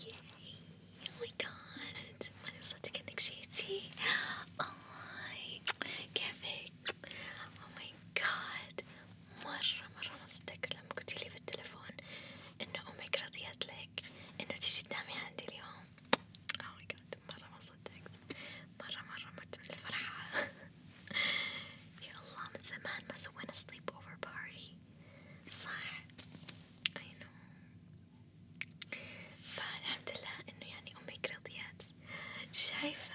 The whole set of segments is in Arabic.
Yay! Oh my god! When is that Oh Kevin! أوه ماي جاد مرة مرة ما صدقت لما قلتيلي في التليفون إنه أمك رضيت لك إنه تيجي تنامي عندي اليوم، أوه ماي جاد مرة ما صدقت، مرة مرة مرت من الفرحة، يا الله من زمان ما سوينا سليب أوفر بارتي، صح؟ I know. فالحمد لله إنه يعني أمك رضيت، شايفة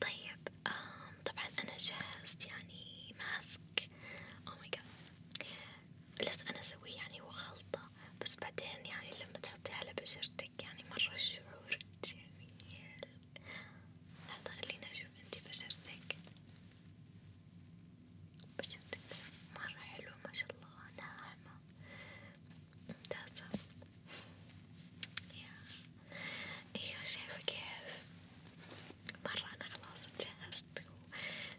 طيب آم طبعا أنا جهزت يعني ماسك أو ماي جاد لازم أنا أسويه يعني هو خلطة بس بعدين يعني لما تحطيه على بشرتك يعني مرة شعور جميل هذا خلينا أشوف أنتي بشرتك بشرتك مرة حلوة ما شاء الله ناعمة ممتازة يا ايوه شايفة كيف مرة انا خلاص جهزت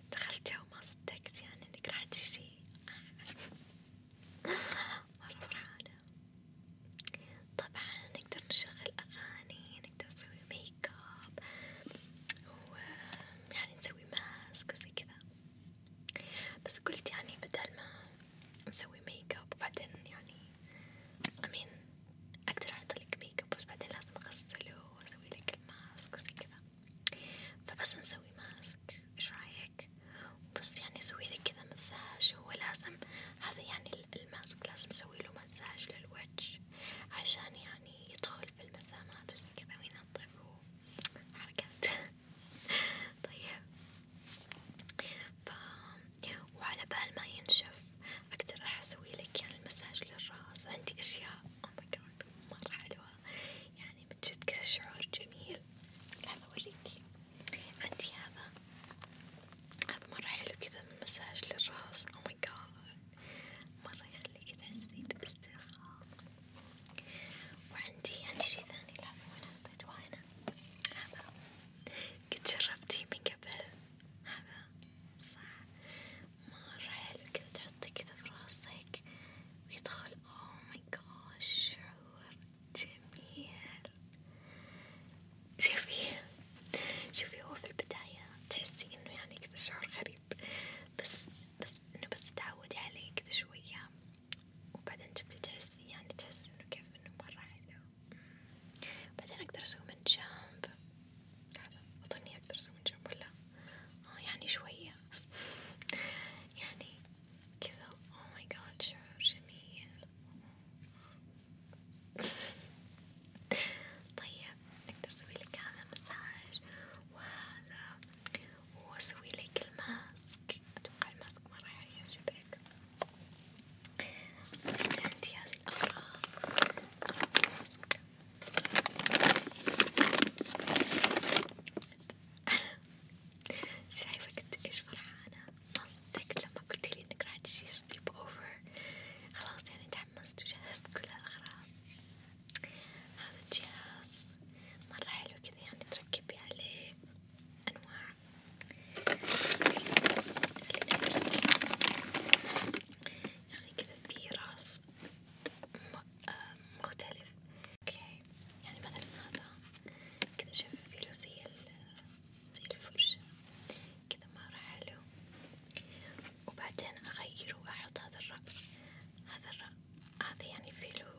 ودخلت جو ما صدقت يعني انك راح تجي مرة فرحانة طبعا نقدر نشغل اغاني نقدر نسوي ميك اب ويعني نسوي ماسك وزي كذا بس قلت يعني بدل ما نسوي ميك اب وبعدين يعني امين اقدر احطلك ميك اب بس بعدين لازم اغسله واسوي لك الماسك وزي كذا فبس نسوي ماسك ايش رايك بس يعني سوي لك كذا مساج هو لازم هذا يعني الماسك لازم اسوي له مساج للوجه عشان يعني يدخل في المسامات وزي كذا وينظف وحركات طيب ف وعلى بال ما ينشف أقدر راح أسوي لك يعني المساج للراس عندي أشياء أوه ماي جاد مرة حلوة يعني من جد كذا شعور جميل لحظة أوريكي عندي هذا هذا مرة حلو كذا من مساج للراس أوه ماي جاد مرة يخليكي تحسي بالاسترخاء وعندي عندي شي ثاني لحظة وين حطيته هنا هذا قد جربتيه من قبل هذا صح مرة حلو كذا تحطي كذا في راسك ويدخل اوه ماي جوش شعور جميل شوفي شوفي هو في البداية تحسي انه يعني كذا شعور غريب بس بس انه بس تعودي عليه كذا شوية وبعدين تبدي تحسي يعني تحسي انه كيف انه مرة حلو بعدين أقدر أسوي من جنب، أظني أقدر أسوي من جنب ولا؟ آه يعني شوية، يعني كذا، أوه ماي جاد شعور جميل، طيب أقدر أسوي لك هذا مساج وهذا، وأسوي لك الماسك، أتوقع الماسك مرة حيعجبك. عندي هذه الأغراض شايفة قد إيش فرحانة ما صدقت لما قلتلي إنك راح تجي سليب أوفر خلاص يعني تحمست وجهزت كل الأغراض هذا الجهاز مرة حلو كذا يعني تركبي عليه أنواع يعني كذا في راس آه، مختلف اوكي يعني مثلا هذا كذا شايفة في له زي زي الفرشة كذا مرة حلو وبعدين اغيره واحط هذا الرأس هذا الرأس هذا يعني في له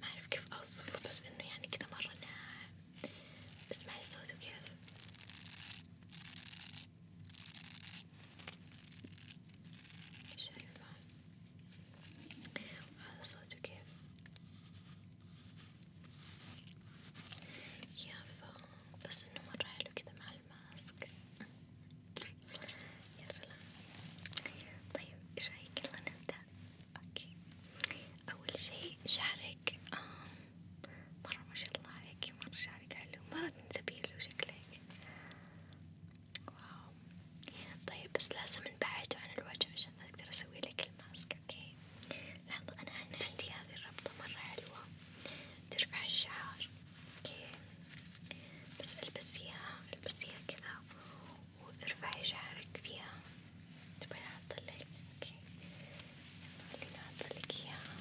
ما اعرف كيف اوصفه بس انه يعني كذا مرة ناعم اسمعي الصوت وكيف شايفة وهذا صوته كيف يافا بس انه مرة حلو كذا مع الماسك يا سلام طيب ايش رايك يلا نبدأ اوكي اول شي شعرك آه مرة ما شاء الله عليكي مرة شعرك حلو مرة تنسبيله شكلك واو طيب بس لازم نبعده عن الوجه عشان أقدر أسوي لك الماسك أوكي لحظة أنا عندي هذه الربطة مرة حلوة ترفع الشعر أوكي بس ألبسيها ألبسيها كذا وارفعي شعرك فيها تبغين أحطلك خليني أحطلك إياها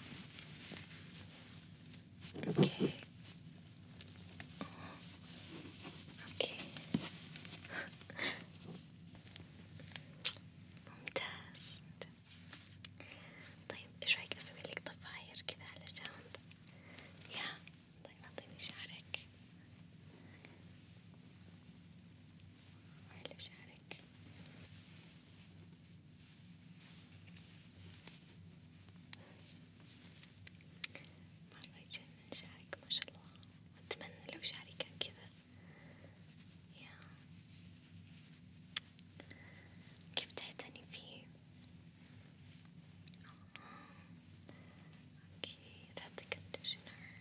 أوكي أوكي ممتاز طيب إيش رأيك أسوي لك ضفاير كذا على جنب؟ يا طيب أعطيني شعرك وحلو شعرك مرة يجنن شعرك ما شاء الله أتمنى لو شعري كان كذا يا كيف تعتني فيه؟ اوكي تعطي كونديشنر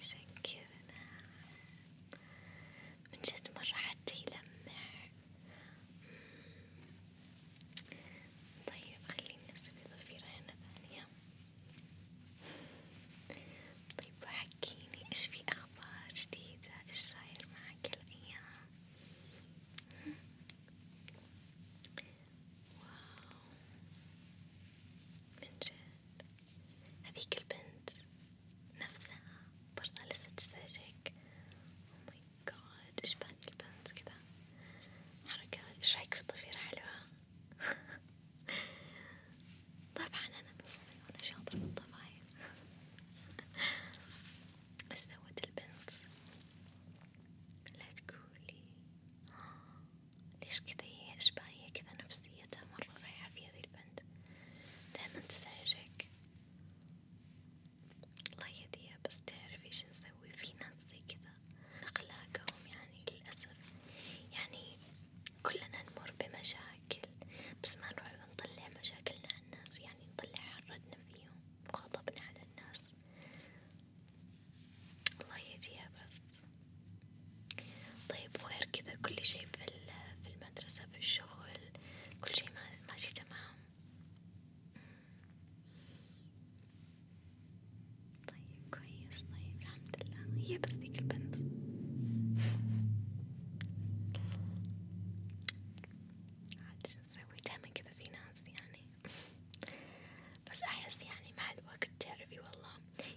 عشان كذا نعم من جد مرة حتى يلمع طيب خليني أسوي ضفيرة هنا ثانية طيب وحكيني إيش في أخبار جديدة إيش صاير معك الأيام واو من جد هذيك البنت نفسها برضه لسه تزعجك oh my god إيش بهذي البنت كذا حركات إيش رأيك في الضفيرة حلوة طبعا أنا من صغري وأنا شاطرة في الضفاير إيش سوت البنت لا تقولي ليش كذا هي إيش باهية كذا نفسيتها مرة رايحة في هذي البنت happened. دايما تزعجك الله يهديها بس تعرف ايش نسوي في ناس زي كذا أخلاقهم يعني للأسف يعني كلنا نمر بمشاكل بس ما نروح نطلع مشاكلنا على الناس يعني نطلع حردنا فيهم وغضبنا على الناس الله يهديها بس طيب وغير كذا كل شي في في المدرسة في الشغل كل شي ماشي تمام طيب كويس طيب الحمد لله هي بس ديك البنت عاد شو نسوي دايما كذا في ناس يعني بس أحس يعني مع الوقت تعرفي والله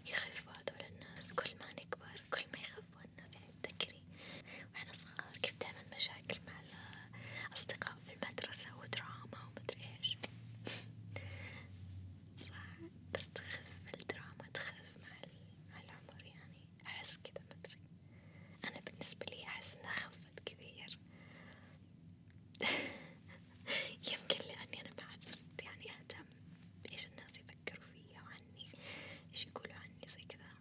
يخفوا هذول الناس كل ما نكبر كل ما يخافوا لنا ذكري وإحنا صغار كيف دايما مشاكل مع الأصدقاء في المدرسة ودراما ومدري إيش صح بس تخف الدراما تخف مع العمر يعني أحس كذا مدري أنا بالنسبة لي أحس إنها خفت كثير يمكن لأني أنا بعد صرت يعني أهتم بإيش الناس يفكروا فيا وعني ايش يقولوا عني زي كذا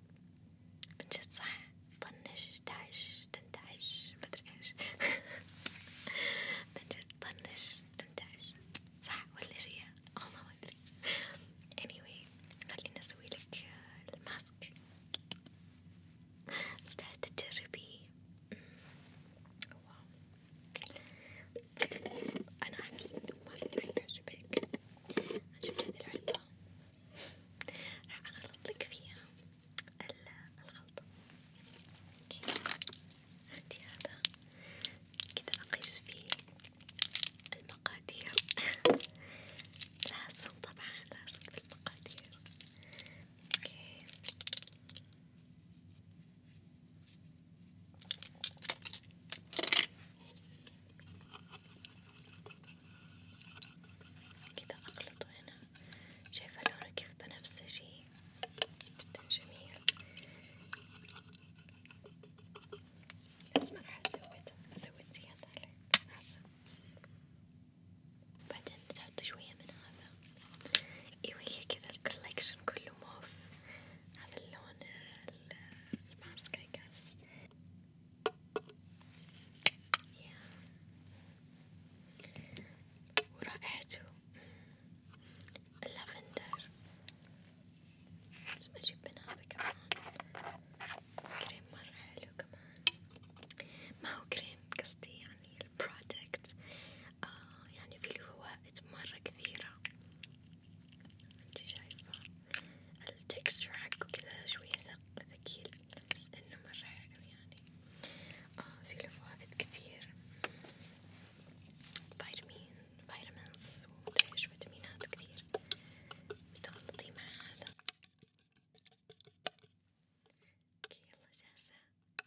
من جد صح طنش تعش تنتعش مدري ايش من جد طنش تنتعش صح ولا شي والله ما ادري anyway خليني اسوي لك الماسك مستعدة تجربيه واو أنا أحس إنه ما راح يعجبك، أنا جبت هذي العلبة راح أخلطلك فيها الخلطة، أوكي عندي هذا كذا أقيس فيه المقادير، لازم طبعا لازم المقادير، أوكي. كذا أخلطه هنا شايفة لونه كيف بنفسجي جدا جميل بس ما راح أزود أزود زيادة عليه بعدين تحط شوية من هذا ايوه هي كذا الكولكشن كله موف هذا اللون الماسك I guess yeah. ورائحته اللافندر لازم أجيب من هذا كمان كريم مرة حلو كمان ما هو كريم قصدي يعني البرودكت آه يعني فيه فوائد مرة كثيرة انتي شايفة التكستشر حقه كذا شوية ثقيل بس انه مرة حلو يعني آه في له فوائد كثير فيتامين فيتامينز ومدريش فيتامينات كثير بتغلطي مع هذا اوكي يلا جاهزة احطلك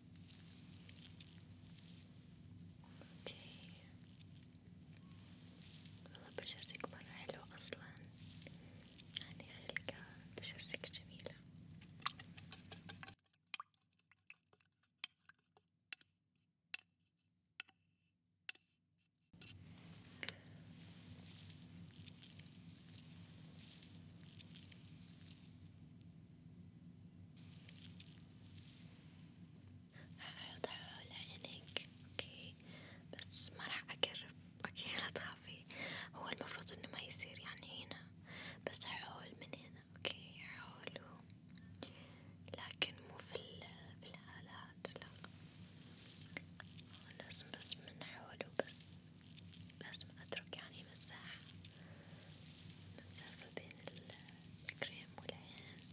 اوكي والله بشرتك مرة حلوة اصلا يعني خلقة بشرتك جميلة راح أحط حول عينك اوكي بس ما راح أقرب اوكي لا تخافي هو المفروض انه ما يصير يعني هنا بس حول من هنا اوكي حول لكن مو في الهالات لا لازم بس من حوله بس لازم اترك يعني مساحة المسافة بين الكريم والعين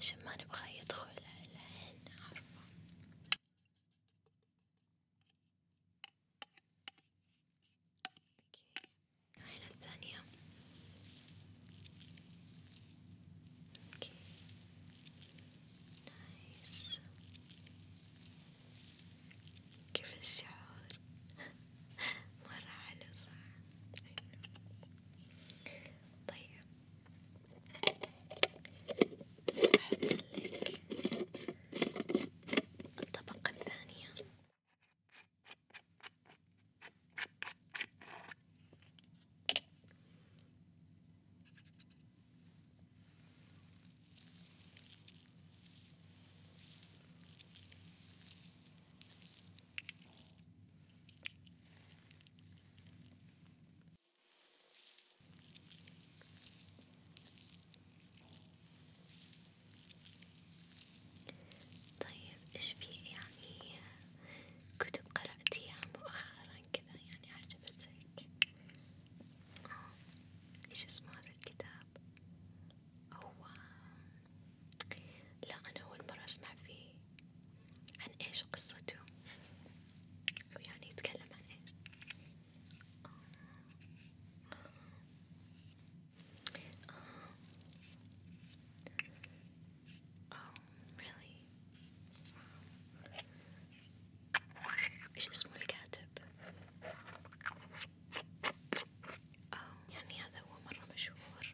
عشان ما نبغى يدخل على العين عارفة اوكي العين الثانية اوكي نايس كيف الشعور؟ مرة حلو صح طيب أحطلك الطبقة الثانية طيب إيش في يعني كتب قرأتيها مؤخرا كذا يعني عجبتك؟ آه، إيش اسمه هذا الكتاب؟ هو لا أنا أول مرة أسمع فيه عن إيش قصته أو يعني يتكلم عن إيش آه. آه. آه. Oh, really? إيش اسمه الكاتب؟ أوه يعني هذا هو مرة مشهور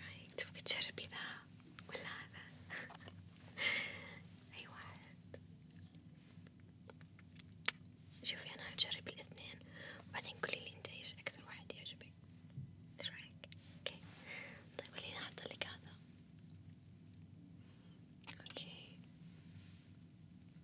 رايك تبغي تجربي ذا ولا هذا؟ أي واحد؟ شوفي أنا هجرب الاثنين وبعدين قولي لي أنت إيش أكثر واحد يعجبك، إيش رأيك؟ أوكي، طيب خليني أحطلك هذا، أوكي.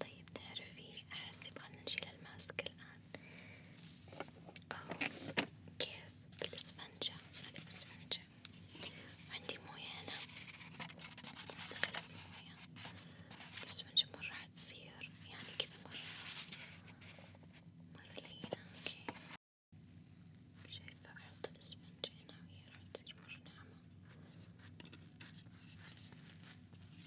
طيب تعرفي أحسب خلنا نشيل الماسك الآن أو كيف الإسفنجة هذي الإسفنجة وعندي موية هنا هذا قلم الموية الإسفنجة مرة حتصير يعني كذا مرة مرة لينة أوكي شايفة أحط الإسفنجة هنا وهي راح تصير مرة ناعمة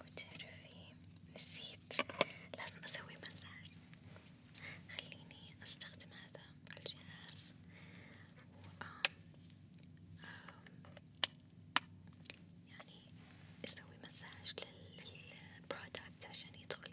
وتعرفي نسيت لازم أسوي مساج خليني أستخدم هذا الجهاز و يعني أسوي مساج للبرودكت عشان يدخل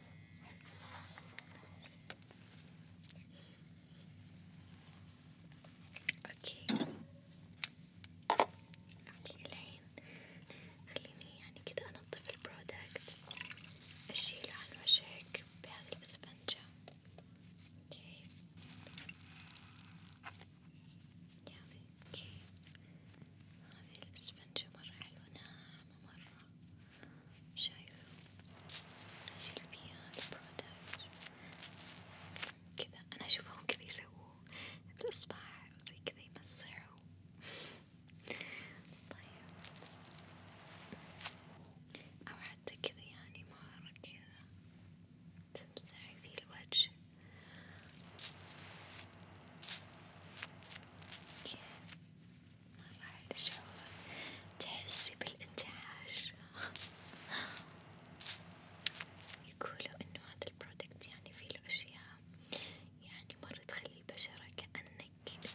اوكي اوكي الحين خليني يعني كده انظف البرودكت اشيله عن وجهك بهذه الاسفنجة اوكي يعني اوكي هذه الاسفنجة مرة حلوة ناعمة فاهمة مرة شايفة جلبية البرودكت كذا أنا أشوفهم كذا يسووا بالإصبع زي كذا يمسحوا طيب أو حتى كذا يعني مرة كذا تمسحي فيه الوجه كذا مرة حلو شعور تحسي بالانتعاش يقولوا إنه هذا البرودكت يعني فيه له أشياء يعني مرة تخلي البشرة كأنك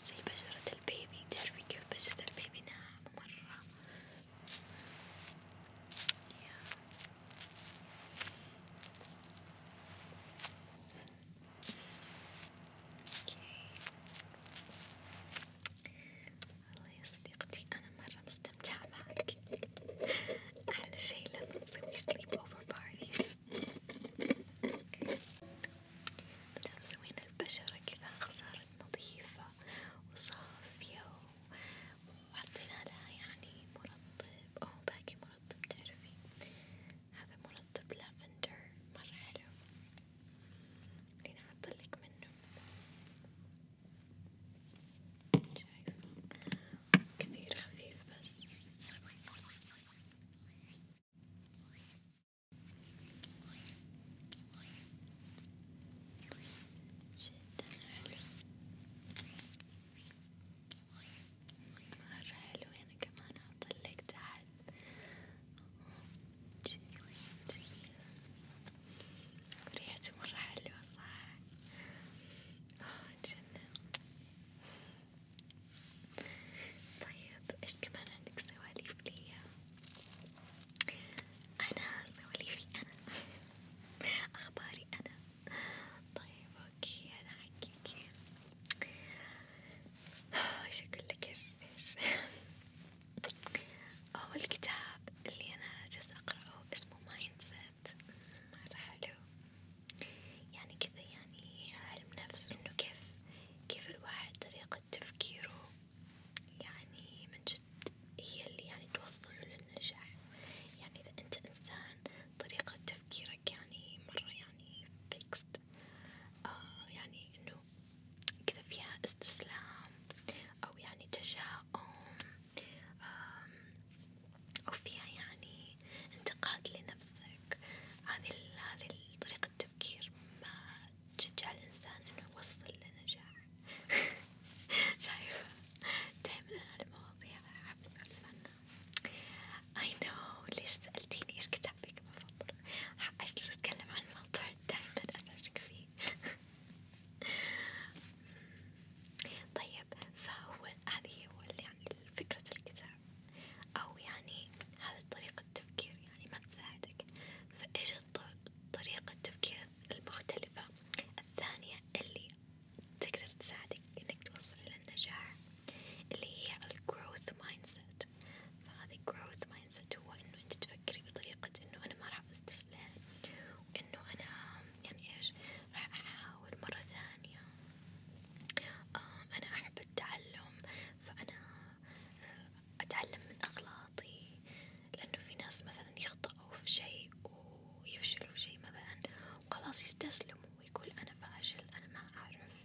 زي بشرة البيبي تعرفي كيف بشرة البيبي ناعمة مرة والله يا صديقتي أنا مرة مستمتعة معك، أحلى شي لما نسوي سليب أوفر بارتيز، مدام سوينا البشرة كذا صارت نظيفة وصافية وحطينا لها يعني مرطب أو باقي مرطب تعرفي هذا مرطب لافندر مرة حلو خليني أحطلك منه شايفة كثير خفيف بس جدا حلو مرة حلو أنا كمان هطلق تحت ريحتي مرة حلوة صح؟ آه، جنن طيب ايش كمان عندك سواليف ليا؟ أنا سواليفي أنا أخباري أنا طيب اوكي انا حقيقي ايش اقول لك ايش اول كتاب اللي انا جالسة اقرأه اسمه مايند سيت مرة حلو يعني كذا يعني علم نفس انه كيف كيف الواحد طريقة تفكيره يعني من جد هي اللي يعني توصله للنجاح يعني اذا انت انسان طريقة تفكيرك يعني مرة يعني فيكست آه يعني إنه كذا فيها استسلام أو يعني تجاؤم أو فيها يعني انتقاد لنفسك هذه هذه طريقة التفكير ما تشجع الإنسان إنه يوصل لنجاح شايفة دايما أنا المواضيع أحب أسولف عنها I know ليش سألتيني إيش كتابك المفضل؟ أجلس أتكلم عن الموضوع دايما أزعجك فيه طيب فهو هذه هو يعني فكرة الكتاب أو يعني هذه طريقة التفكير يعني ما تساعدك فإيش طريقة التفكير المختلفة الثانية اللي تقدر تساعدك إنك توصل للنجاح اللي هي ال growth mindset فهذه growth mindset هو إنه أنت تفكري بطريقة إنه أنا ما راح أستسلم وإنه أنا يعني إيش راح أحاول مرة ثانية آه أنا أحب التعلم فأنا آه أتعلم من أغلاطي لأنه في ناس مثلا يخطئوا في شيء ويفشلوا في شيء مثلا وخلاص يستسلموا ويقول أنا فاشل أنا ما أعرف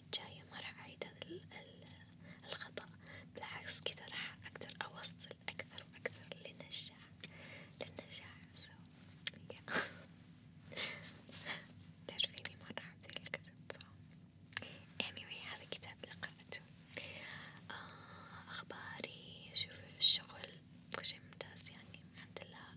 المرة الجاية ما راح أعيد هذا الخطأ، بالعكس كذا راح أقدر أوصل أكثر وأكثر للنجاح، للنجاح سو تعرفيني مرة أحب الكتب، anyway هذا كتاب قرأته، آه أخباري شوفي في الشغل كل شي ممتاز يعني الحمد لله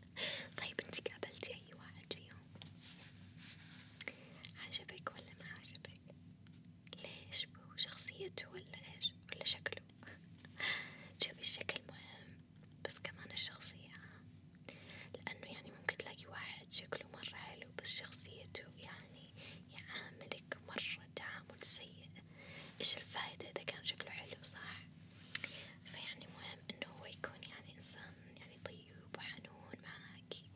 طيب انتي قابلتي اي واحد فيهم عجبك ولا ما عجبك ليش بو شخصيته ولا ايش ولا شكله شوفي الشكل مهم بس كمان الشخصية لأنه يعني ممكن تلاقي واحد شكله مرة حلو بس شخصيته يعني يعاملك مرة تعامل سيء إيش الفايدة إذا كان شكله حلو صح فيعني مهم إنه هو يكون يعني إنسان يعني طيب وحنون معاكي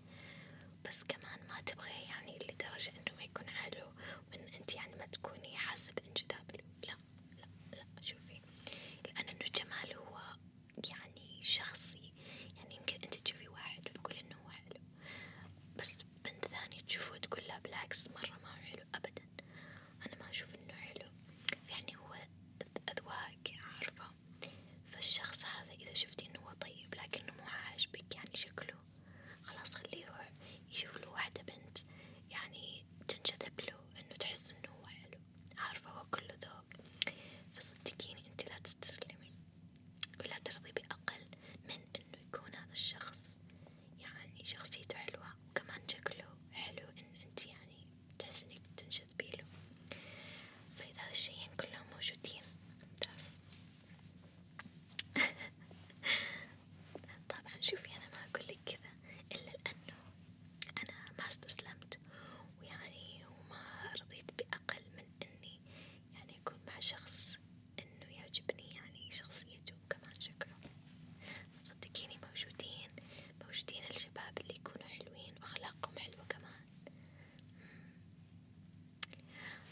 بس كمان ما تبغي يعني لدرجة إنه ما يكون عدو وإن أنت يعني ما تكوني حاسة بإنجذاب لا لا لا شوفي لأنه جمال هو يعني شخصي يعني يمكن أنت تشوفي واحد وتقول إنه هو حلو بس بنت ثانية تشوفه وتقول لا بالعكس مرة ما حلو أبدا جدا أنا ما أشوف إنه حلو يعني هو أذواق عارفة فالشخص هذا إذا شفتي إنه هو طيب لكنه مو عاجبك يعني شكله خلاص خليه يروح يشوف له واحدة بنت يعني تنجذب له إنه تحس إنه هو حلو عارفة هو كله ذوق فصدقيني أنت لا تستسلمي ولا ترضي بأقل من إنه يكون هذا الشخص يعني شخصيته حلوة وكمان شكله حلو إن أنت يعني تحس إنك تنجذبي له فإذا هذا الشيئين كلهم موجودين ممتاز طبعا شوفي أنا ما أقولك كذا إلا لأنه أنا ما استسلمت ويعني وما رضيت بأقل من إني يعني أكون مع شخص إنه يعجبني يعني شخصيته اليوتيوب كمان شكرا صدقيني موجودين موجودين الشباب اللي يكونوا حلوين وأخلاقهم حلوة كمان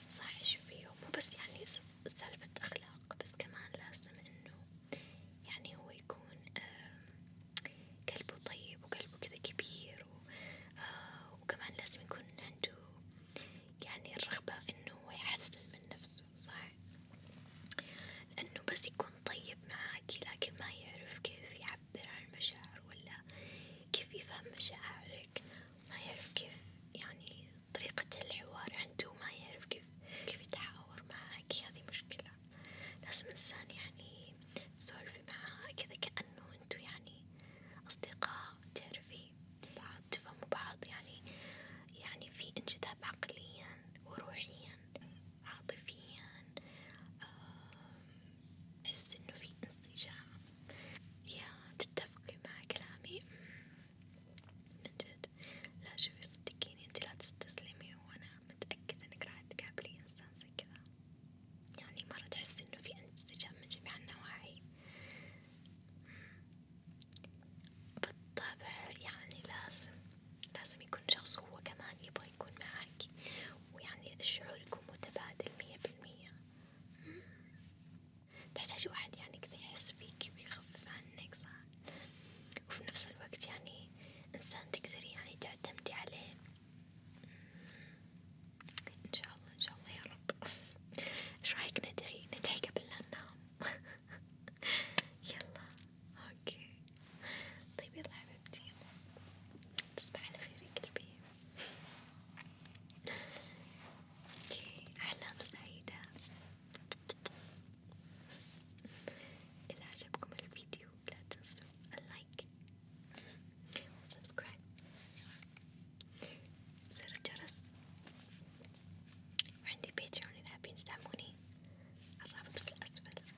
صح شوفي مو بس يعني سالفة أخلاق بس كمان لازم إنه يعني هو يكون قلبه طيب وقلبه كذا كبير آه، وكمان لازم يكون عنده يعني الرغبة إنه هو يحسن من نفسه نفسه صح لأنه بس يكون طيب معاكي لكن ما يعرف كيف يعبر عن المشاعر ولا كيف يفهم مشاعرك ما يعرف كيف يعني طريقة الحوار عنده ما يعرف كيف كيف يتحاور معاك هذه مشكلة لازم إنسان يعني تسولفي معاه كذا كأنه أنتوا يعني أصدقاء تعرفي بعض تفهموا بعض يعني يعني في انجذاب عقليا وروحيا عاطفيا أحس إنه في انسجام يا تتفقي مع كلامي من جد لا شوفي صدقيني انتي لا تستسلمي وأنا متأكدة إنك راح تقابلي إنسان زي كذا يعني مرة تحسي إنه في انسجام من جميع النواحي بالطبع يعني لازم لازم يكون شخص هو كمان يبغى يكون معك ويعني الشعور يكون متبادل مية بالمية تحتاج واحد يعني كذا يحس فيك ويخفف عنك صح وفي نفس الوقت يعني إنسان تقدري يعني تعتمدي عليه إن شاء الله إن شاء الله يا رب إيش رايك ندعي ندعي قبل لا ننام يلا اوكي طيب يلا حبيبتي تصبح على خير يا قلبي اوكي احلام سعيدة اذا عجبكم الفيديو لا تنسوا اللايك وسبسكرايب زر الجرس وعندي بيتريون إذا حابين تدعموني الرابط في الأسفل